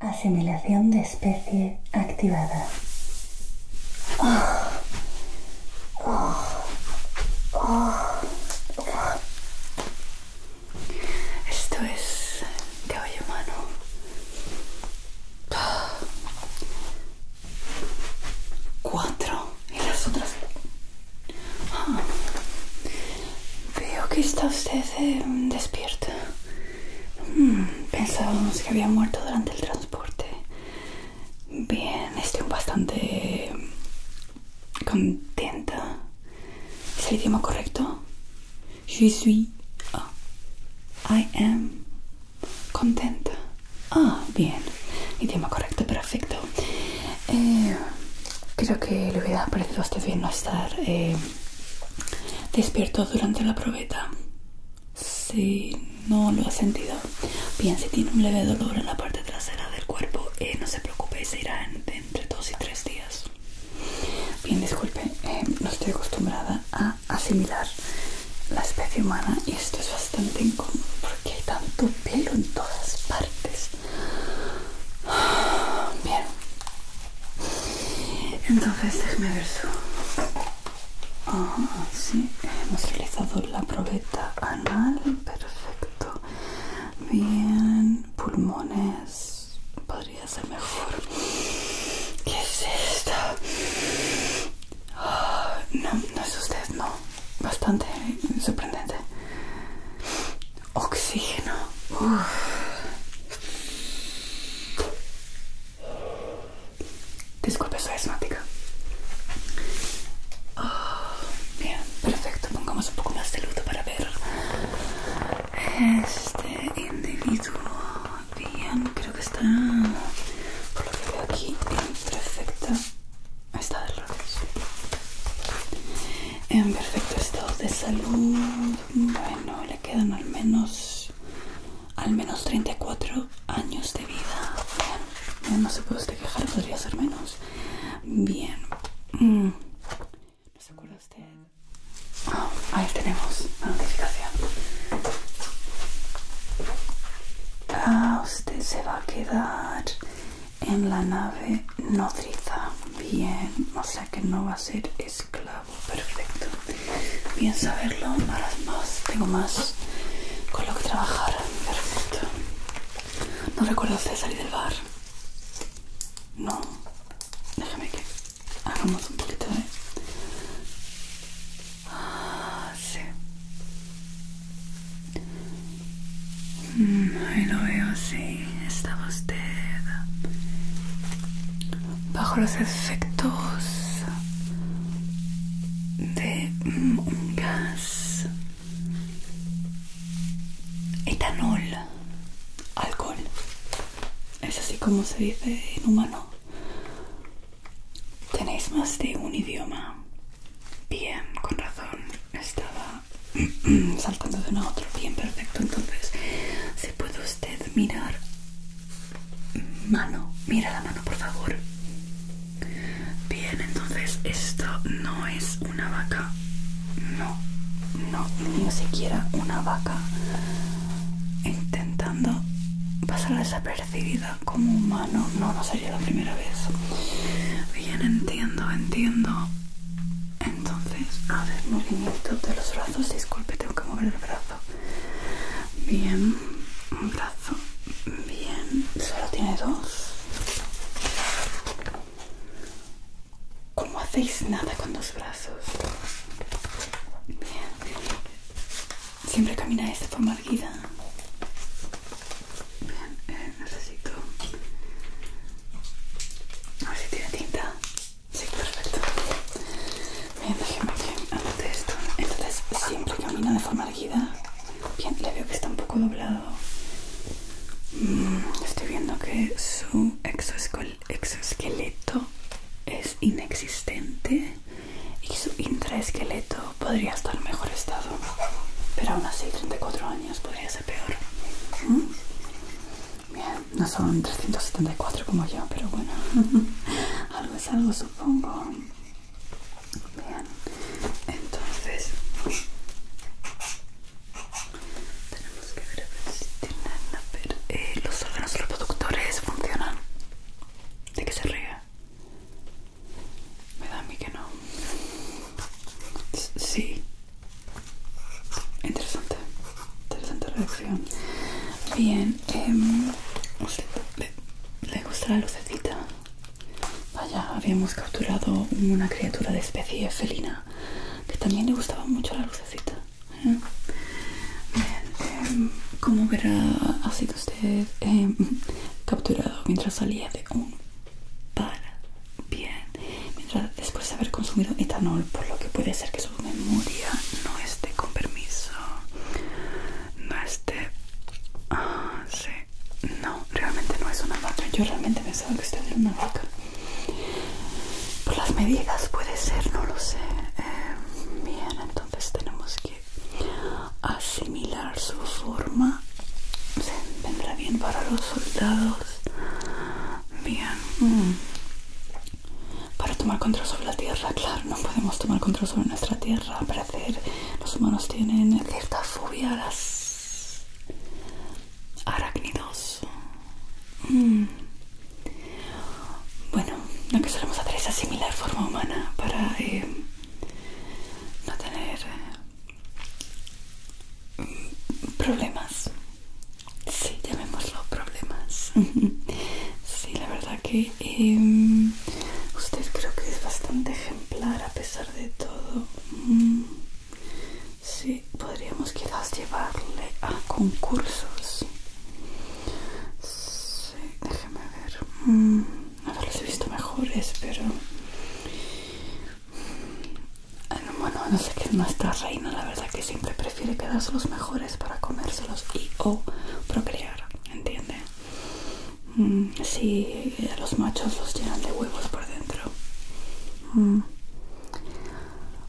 Asimilación de especie activada. Esto es caballo humano. Cuatro. Y las otras. Ah, Veo que está usted eh, despierta. Hmm, pensábamos que había muerto durante el transporte. Bien, estoy bastante contenta. ¿Es el idioma correcto? Je suis. Ah, I am contenta. Ah, bien. Idioma correcto, perfecto. Eh, creo que le hubiera parecido a usted bien no estar eh, despierto durante la probeta. Si no lo has sentido, bien, si tiene un leve dolor en la parte trasera del cuerpo, eh, no se preocupe, se irá entre dos y tres días. Bien, disculpe, eh, no estoy acostumbrada a asimilar la especie humana y esto es bastante incómodo porque hay tanto pelo en todas partes. Bien. Entonces déjeme ver su... Ah, sí, hemos realizado la probeta anal, perfecto. Bien, pulmones, podría ser mejor. ¿Qué es esto? Ah, no, no es usted, no. Bastante sorprendente. Oxígeno. Disculpe, soy asmática. Oh, bien, perfecto. Pongamos un poco más de luz para ver. Este individuo, bien, creo que está, por lo que veo aquí, en Está de En perfecto estado de salud. Bueno, le quedan al menos al menos 34 años de vida. Bien, no se puede usted quejar, podría ser menos. Bien. Mm. ¿No se acuerda usted? Ah, ahí tenemos la notificación. Ah, usted se va a quedar en la nave nodriza. Bien, no que no va a ser esclavo. Perfecto. Bien saberlo. Ahora más. Tengo más con lo que trabajar. Perfecto. ¿No recuerdas de salir del bar? No. Déjame que hagamos un poquito de... Ah, sí. Mm, ahí lo veo, sí estaba usted bajo los efectos de un gas etanol alcohol es así como se dice en humano tenéis más de un idioma bien con razón estaba saltando de una a otro, Bien, perfecto. Entonces, si puede usted mirar mano, mira la mano, por favor. Bien, entonces esto no es una vaca. No, no, ni siquiera una vaca. Intentando pasar desapercibida como humano. No, no sería la primera vez. Bien, entiendo, entiendo entonces a ver movimiento de los brazos disculpe tengo que mover el brazo bien un brazo bien solo tiene dos ¿Cómo hacéis nada con dos brazos? Bien. Siempre camina de forma erguida. Bien, eh, necesito. A ver si tiene tinta. Sí, perfecto. Bien, déjeme que anote esto. Entonces, siempre camina de forma erguida. Bien, le veo que está un poco doblado. Mm, estoy viendo que su exoesqueleto es inexistente y su intraesqueleto podría estar en mejor estado. Pero aún así, 34 años podría ser peor. ¿Mm? Bien, no son 374 como yo, pero bueno, algo es algo, supongo. Bien, entonces tenemos que ver a ver si tienen la ver, eh, los órganos reproductores funcionan. ¿De qué se ríe? Me da a mí que no. Sí, Interesante, interesante reacción. Bien, em, le, gusta la lucecita? Vaya, habíamos capturado una criatura de especie felina que también le gustaba mucho la lucecita. ¿eh? Bien, em, como verá, ha sido usted em, capturado mientras salía de un bien mientras después de haber consumido etanol por lo que puede ser que su memoria no esté con permiso no esté ah sí no realmente no es una vaca yo realmente pensaba que usted era una vaca por las medidas puede ser no lo sé eh, bien entonces tenemos que asimilar su forma vendrá bien para los soldados Bien. Mm. Para tomar control sobre la tierra, claro, no podemos tomar control sobre nuestra tierra. Al parecer, los humanos tienen cierta fobia a las arácnidos. Mm. Bueno, lo que solemos hacer es asimilar forma humana para eh, no tener problemas. Sí, llamémoslo problemas. sí, la verdad que em, usted creo que es bastante ejemplar a pesar de todo. Mm, si podríamos quizás llevarle a concursos. Sí, déjeme ver. ver mm, los he visto mejores, pero bueno, no sé qué es nuestra reina, la verdad que siempre prefiere quedarse los mejores para comérselos y o procrear, ¿entiende? Mm, si eh, los machos los llenan de huevos por dentro. Mm.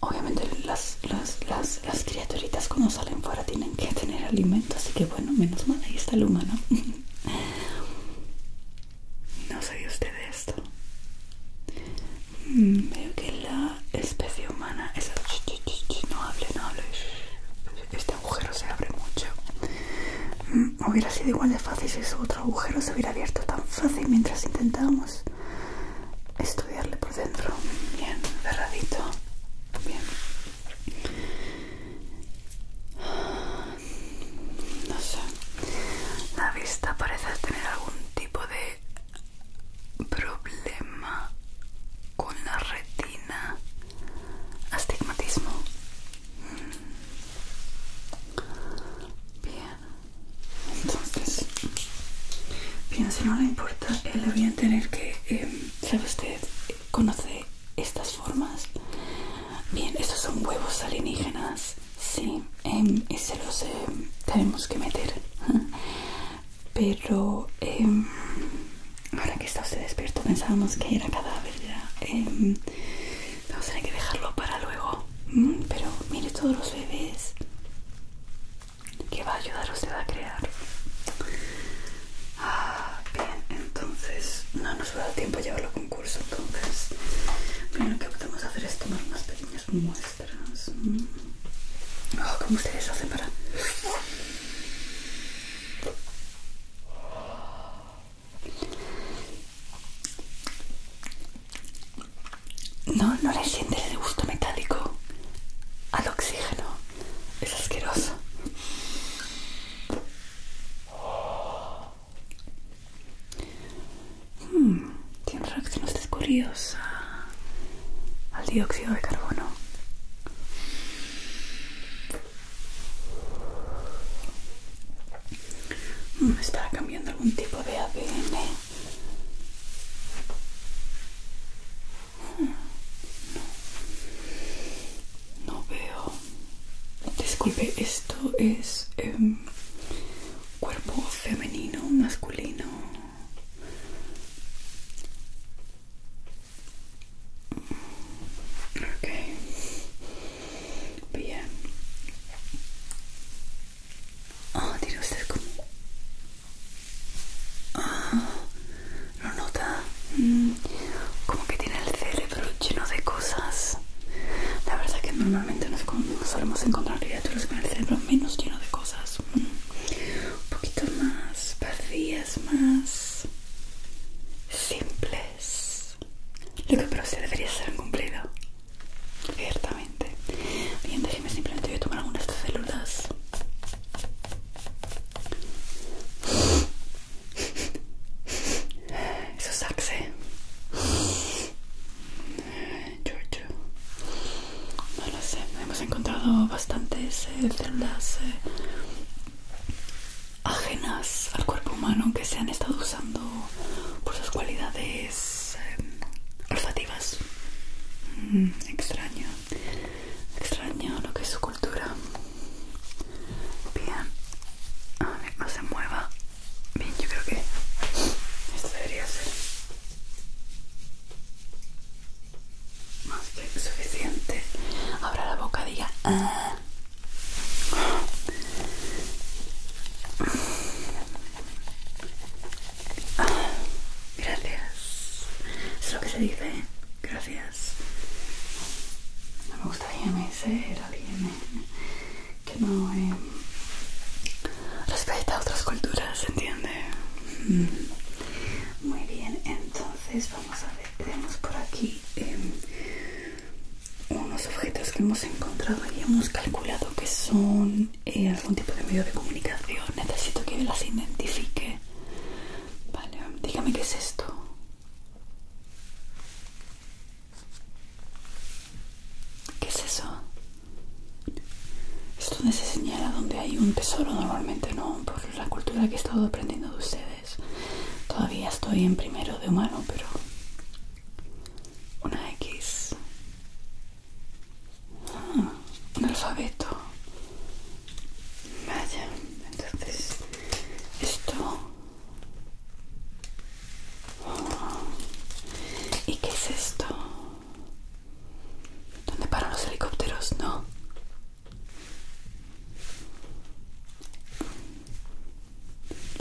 Obviamente las, las criaturitas cuando salen fuera tienen que tener alimento, así que bueno, menos mal, ahí está el humano. no sé usted de esto veo que la especie humana es no hable, no hable. Este agujero se abre mucho. Mm, hubiera sido igual de fácil si ese otro agujero se hubiera abierto tan fácil mientras intentábamos estudiarle por dentro. Bien, cerradito. Bien. No sé. La vista parece tener algún tipo de problema con la retina astigmatismo bien entonces bien si no le importa él eh, le voy a tener que em, sabe usted conoce estas formas bien estos son huevos alienígenas Sí, em, Ese se los em, tenemos que meter. Pero em, ahora que está usted despierto pensábamos que era cadáver ya. vamos a tener que dejarlo para luego. Mm, pero mire todos los bebés que va a ayudar usted a crear. Ah, bien, entonces no nos va a dar tiempo a llevarlo a concurso. Entonces, lo que podemos hacer es tomar unas pequeñas muestras. Oh, ustedes hacen para...? No, no le siente el gusto metálico al oxígeno. Es asqueroso tiene reacciones usted al dióxido de carbono. ¿Me hmm, está cambiando algún tipo de ADN? Hmm, no. no veo. Disculpe, esto es... Em, cuerpo femenino, masculino. Ok, bien. Ah, oh, tiene usted como. Ah, nota. Mm, como que tiene el cerebro lleno de cosas. La verdad que no normalmente nos solemos encontrar criaturas con el cerebro menos lleno de cosas, mm. un poquito más vacías, más simples. Lo que pero sí debería ser cumplido, ciertamente. Bien, déjeme simplemente voy a tomar algunas de estas células. Eso es George, No lo sé, hemos encontrado bastantes eh, celdas células eh, ajenas al cuerpo humano que se han estado usando por sus cualidades eh, olfativas. Mm, extraño, extraño lo que es su cultura. Bien, a ver, no se mueva. Bien, yo creo que esto debería ser más que suficiente. Abra la boca, diga. Ah". Ah, gracias. Es lo que se dice. Gracias. No me gustaría ser, alguien que no eh, respeta a otras culturas, ¿entiende? Mm. Muy bien, entonces vamos a ver, tenemos por aquí eh, unos objetos que hemos encontrado y hemos calculado que son eh, algún tipo de medio de comunicación. Necesito que las identifique. Vale, dígame qué es esto. ¿Qué es eso? esto donde se señala donde hay un tesoro normalmente, ¿no? Por la cultura que he estado aprendiendo de ustedes. Todavía estoy en primero de humano, pero... Una X. Ah, un alfabeto. Vaya, entonces esto ¿Y qué es esto? ¿Dónde paran los helicópteros? No.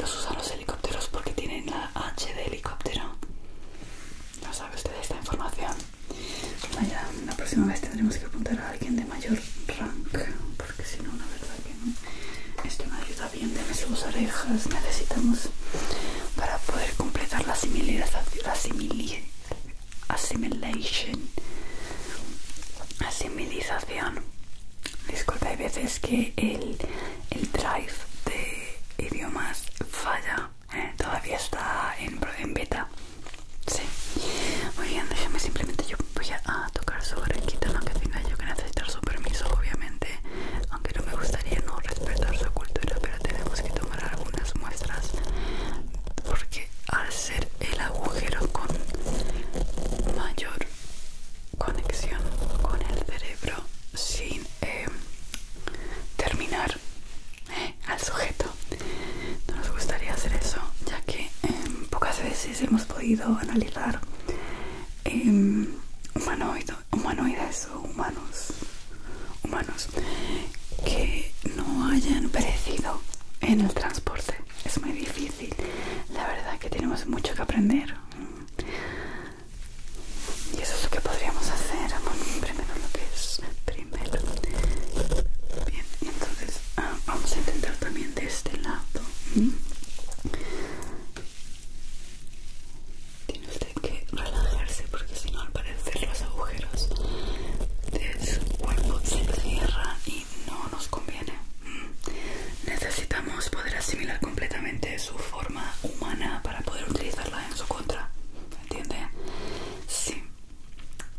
Los usan los helicópteros porque tienen la H de helicóptero. No sabe usted esta información. Vaya, la próxima vez tendremos que apuntar a alguien de mayor rank, porque si no, la verdad que no. Esto ayuda bien sus orejas necesitamos para poder completar la assimilation asimilización disculpe hay veces que el, drive de idiomas falla eh, todavía está en, en beta sí muy bien déjame simplemente yo voy a tocar sobre el aunque que tenga yo que necesitar su permiso obviamente aunque no me gustaría no respetar su cultura, pero tenemos que tomar algunas muestras porque al ser el agujero con mayor conexión con el cerebro sin eh, terminar eh, al sujeto, no nos gustaría hacer eso, ya que em, pocas veces hemos podido analizar eh, humanoides o humanos, humanos que no hayan perecido en el transporte. Es muy difícil. La verdad que tenemos mucho que aprender. Y eso es lo que podríamos hacer. primero lo que es primero. Bien, entonces ah, vamos a intentar también de este lado. Tiene usted que relajarse porque si no al parecer los agujeros de su cuerpo se cierran y no nos conviene. Mm. Necesitamos poder asimilar completamente su forma humana para poder utilizarla en su contra. ¿Entiende? Sí.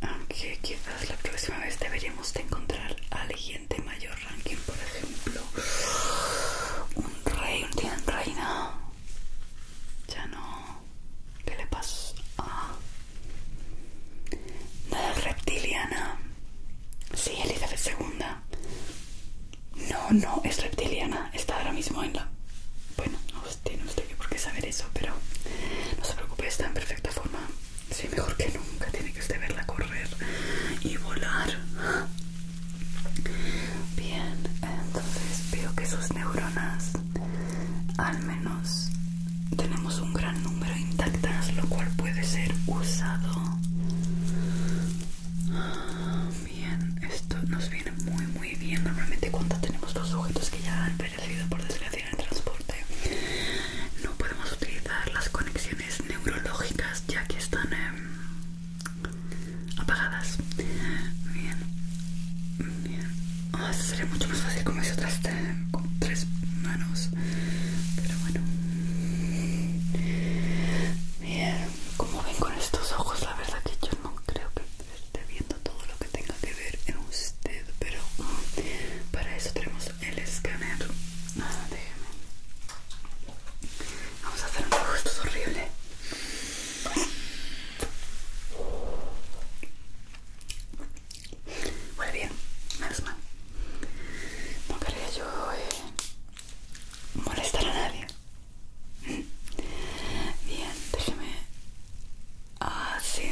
Aunque quizás la próxima vez deberíamos de encontrar a alguien mayor ranking, por ejemplo. Un rey, un reina. Ya no. ¿Qué le pasó? Ah. Nada reptiliana. Sí, Elizabeth II. No, no, es reptiliana. Está ahora mismo en la... Bueno, no tiene usted que por qué saber eso, pero no se preocupe, está en perfecta forma. Sí, mejor que nunca. Tiene que usted verla correr y volar. Bien, entonces veo que sus neuronas al menos tenemos un gran número intactas, lo cual puede ser usado. Bien, esto nos viene muy muy bien. Normalmente cuando tenemos dos sujetos que ya han perecido por desgracia en el transporte, no podemos utilizar las conexiones neurológicas ya que están en apagadas. Bien, bien. Ah, sería mucho más fácil con mis con tres manos. Pero bueno. Bien, como ven con estos ojos, la verdad que yo no creo que esté viendo todo lo que tenga que ver en usted. Pero mm, para eso tenemos el escáner. Nada, ah, déjeme. Vamos a hacer unos es horrible. Muy bien, menos mal. No quería yo eh, molestar a nadie. Bien, déjeme. Ah, sí.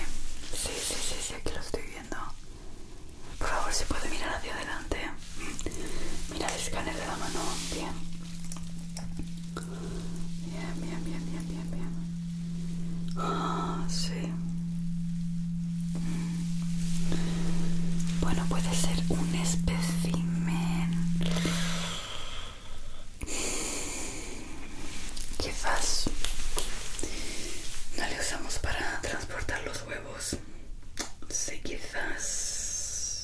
Sí, sí, sí, sí, aquí lo estoy viendo. Por favor, si puede mirar hacia adelante. Mira el escáner de la mano, bien. Bien, bien, bien, bien, bien, Ah, sí. Bueno, puede ser un espécimen. Quizás no le usamos para transportar los huevos. Sí, quizás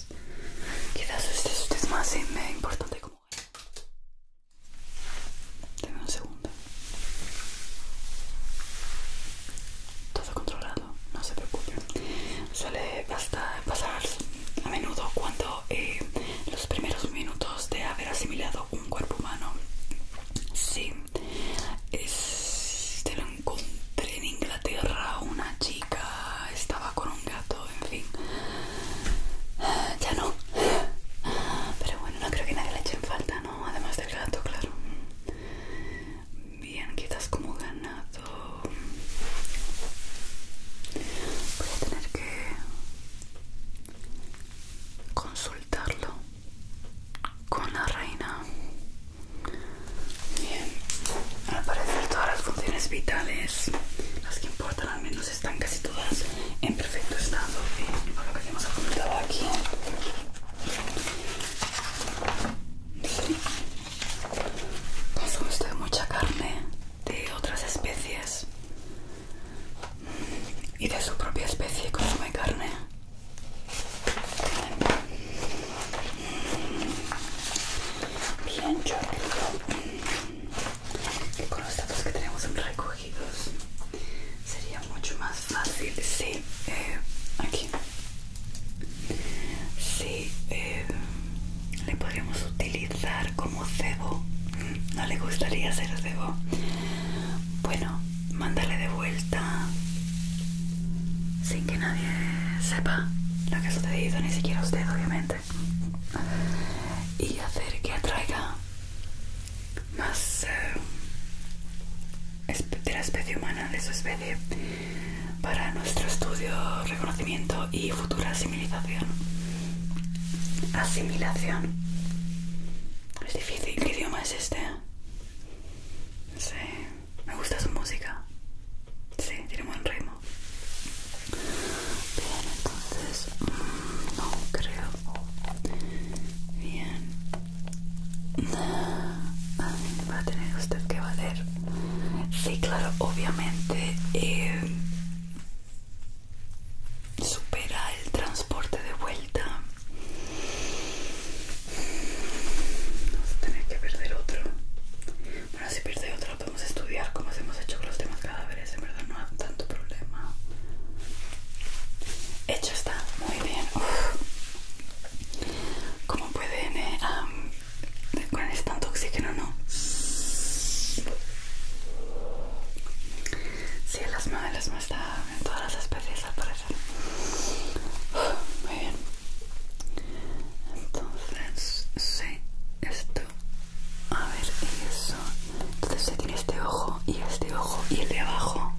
quizás este este es más eh, importante como Dame un segundo todo controlado no se preocupen suele pasar a menudo cuando eh, los primeros minutos de haber asimilado un cuerpo humano sí lo encontré en Inglaterra una chica estaba con un gato, en fin. Ya no. Pero bueno, no creo que nadie le eche en falta, ¿no? Además del gato, claro. Bien, quizás como ganado. Voy a tener que consultarlo con la reina. Bien, al parecer todas las funciones vitales, las que importan al menos, están casi todas en perfecto estado. por lo que hemos apuntado aquí, consume usted mucha carne de otras especies y de su propia especie consume carne bien creo que con los datos que tenemos recogidos sería mucho más fácil si eh, aquí eh, le podríamos utilizar como cebo no le gustaría ser cebo bueno mándale de vuelta sin que nadie sepa lo que ha sucedido, ni siquiera usted obviamente, y hacer que atraiga más eh, de la especie humana, de su especie, para nuestro estudio, reconocimiento y futura asimilación. Asimilación. Es difícil, ¿qué idioma es este? Sí. Me gusta su música. Sí, tiene buen ritmo. Bien, entonces, mm, no creo. Bien. Ah, va a tener usted que valer. Sí, claro, obviamente. Eh, supera el transporte de vuelta vamos a tener que perder otro bueno, si pierde otro lo podemos estudiar como hemos hecho con los demás cadáveres, en verdad no hay tanto problema. Hecho está, muy bien. ¿Cómo pueden, eh, con este tanto oxígeno, ¿no? Sí, el asma, no está en todas las especies al parecer. muy bien entonces sí esto a ver eso entonces se tiene este ojo y este ojo y el de abajo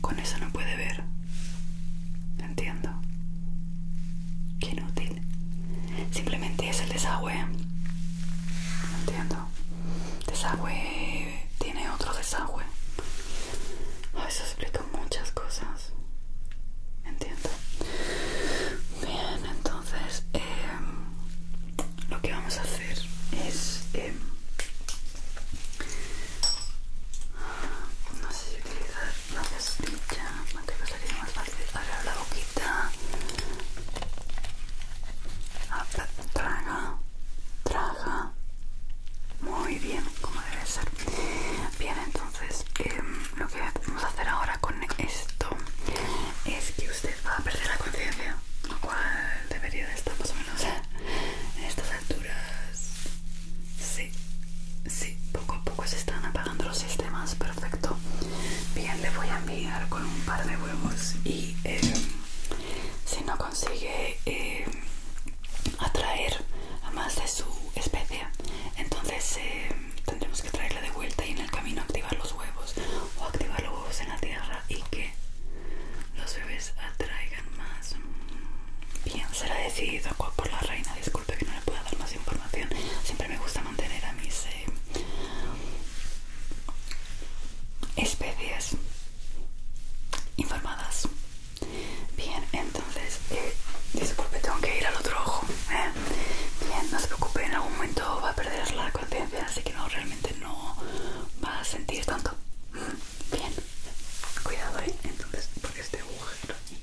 con eso no puede ver entiendo qué inútil simplemente es el desagüe entiendo desagüe tiene otro desagüe eso explica muchas cosas. Entiendo. Bien, entonces em, lo que vamos a hacer es... Em, no sé si utilizar la pastilla, creo que sería más fácil abrir la boquita. traga, traga. Muy bien, como debe ser. Bien, entonces entonces em, lo que vamos a hacer ahora con esto es que usted va a perder la conciencia lo cual debería de estar más o menos en estas alturas sí sí poco a poco se están apagando los sistemas perfecto bien le voy a enviar con un par de huevos y em, si no consigue em, atraer a más de su especie entonces tendremos que traerla de vuelta y en el camino activar los huevos o activar los huevos en la tierra y que los bebés atraigan más. Mm, bien, será decidido por la reina. Disculpe que no le pueda dar más información. Siempre me gusta mantener a mis eh, especies informadas. Bien, entonces, eh, disculpe, tengo que ir al otro ojo. ¿eh? Bien, no se preocupe, en algún momento va a perder la conciencia, así que no, realmente no va a sentir tanto. Bien, cuidado, ¿eh? Entonces, por este agujero aquí,